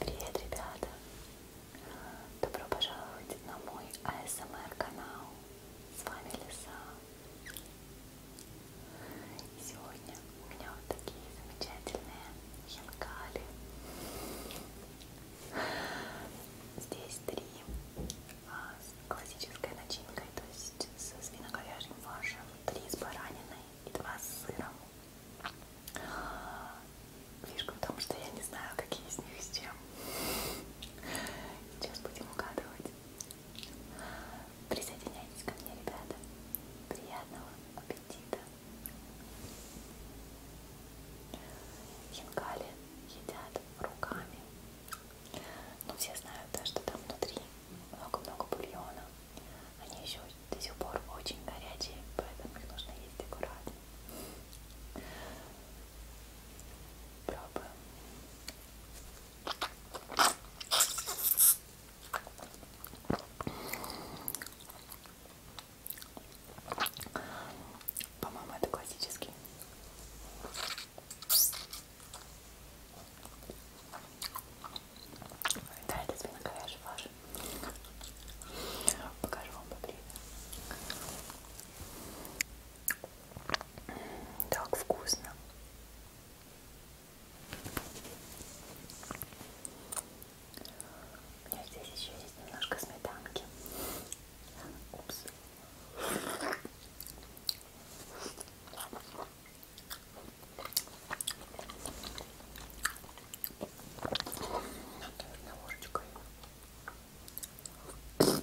Привет, ребята! Добро пожаловать на мой АСМР канал. С вами Лиса. Сегодня у меня вот такие замечательные хинкали. Здесь три а, с классической начинкой, то есть с свиноговяжьим фаршем, три с бараниной и два с сыром. Фишка в том, что я не знаю, какие из них с чем. Сейчас будем угадывать. Присоединяйтесь ко мне, ребята. Приятного аппетита. Хинкали едят руками. Ну, все знают, да, что там внутри много-много бульона. Они еще до сих пор очень горячие, поэтому их нужно есть аккуратно. Пробуем. По-моему, это классический. Да, это свиноговяжий фарш тоже. Покажу вам поближе. Так вкусно. У меня здесь еще есть немножко сметанки. Упс. Наверное, ложечкой. Остренькие.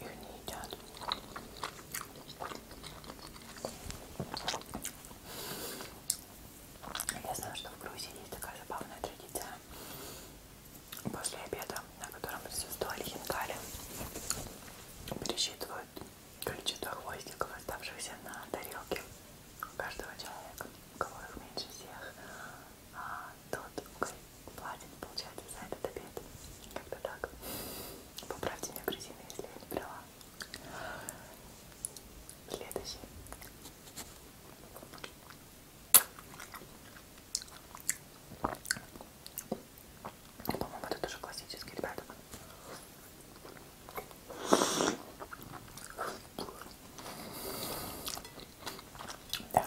их не едят. Я знаю, что в Грузии есть такая забавная традиция. После обеда, на котором присутствовали хинкали, пересчитывают количество хвостиков, оставшихся на тарелке у каждого человека, у кого их меньше всех, а тот, у платит, получается, за этот обед. Как-то так. Поправьте меня, Кристина, если я не брала. Следующий. По-моему, это тоже классический, ребята. Да,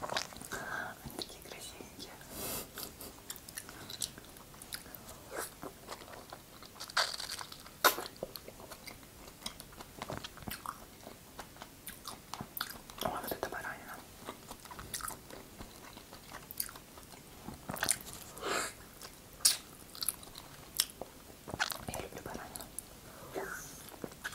Они такие красивенькие. О, вот это баранина. Я люблю баранину.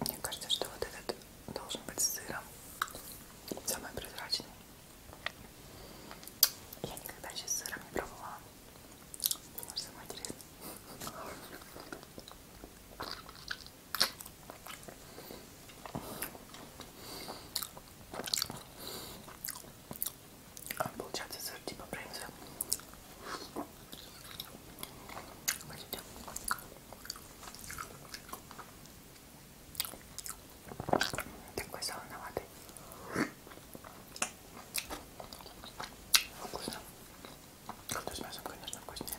Мне кажется, что вот этот должен быть с сыром. Самый прозрачный. Я никогда еще с сыром не пробовала. Может, самое интересное. А, получается сыр типа брынзы. Смотрите. Такой солоноватый. Вкусно. Кто с мясом, конечно, вкуснее.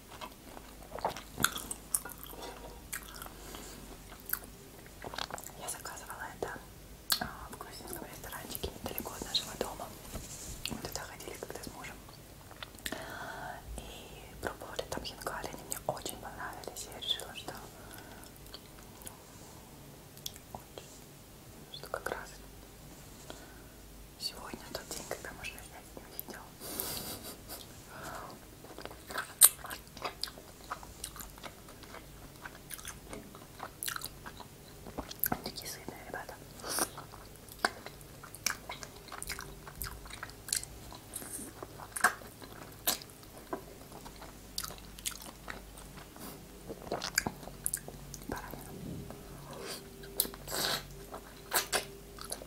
Я заказывала это а, в грузинском ресторанчике недалеко от нашего дома. Мы туда ходили когда с мужем. И пробовали там хинкали, они мне очень понравились. Я решила, что, ну, что как раз Сегодня тот день, когда можно снять с ним видео. Они такие сытные, ребята. Баранина.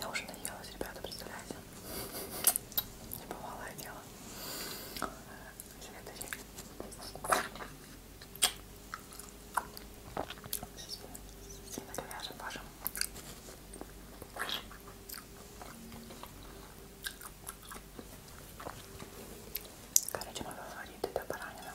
Я уже наелась, ребята, представляете? Небывалое дело. Сильно говяжьим вашим. Короче, мой фаворит это баранина.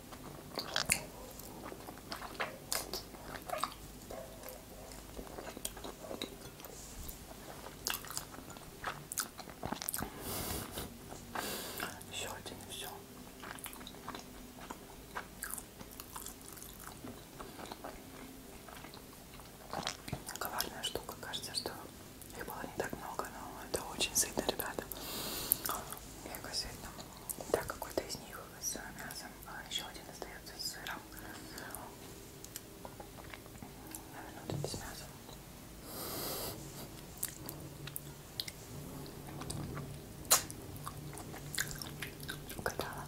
Еще один и все. Коварная штука, кажется, что их было не так много, но это очень сытно, ребята. Мега сытно. Да, какой-то из них э, с мясом, а еще один остается с сыром. Наверное, тут без мяса. Угадала.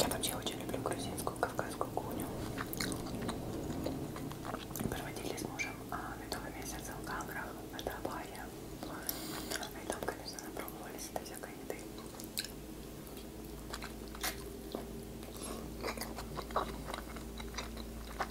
Я вообще очень люблю грузинскую кавказскую кухню. Проводили с мужем а, медовый месяц в Гаграх, это Абая. И там, конечно, напробовались этой всякой еды.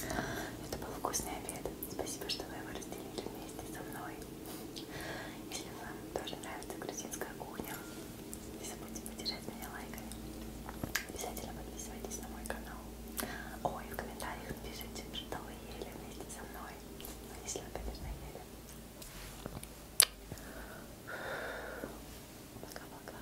Это был вкусный обед. Спасибо, что вы его разделили вместе со мной. Если вам тоже нравится грузинская кухня, не забудьте поддержать меня лайками. Обязательно подписывайтесь на мой канал. Ой, в комментариях напишите, что вы ели вместе со мной. Ну, если вы, конечно, ели. Пока-пока.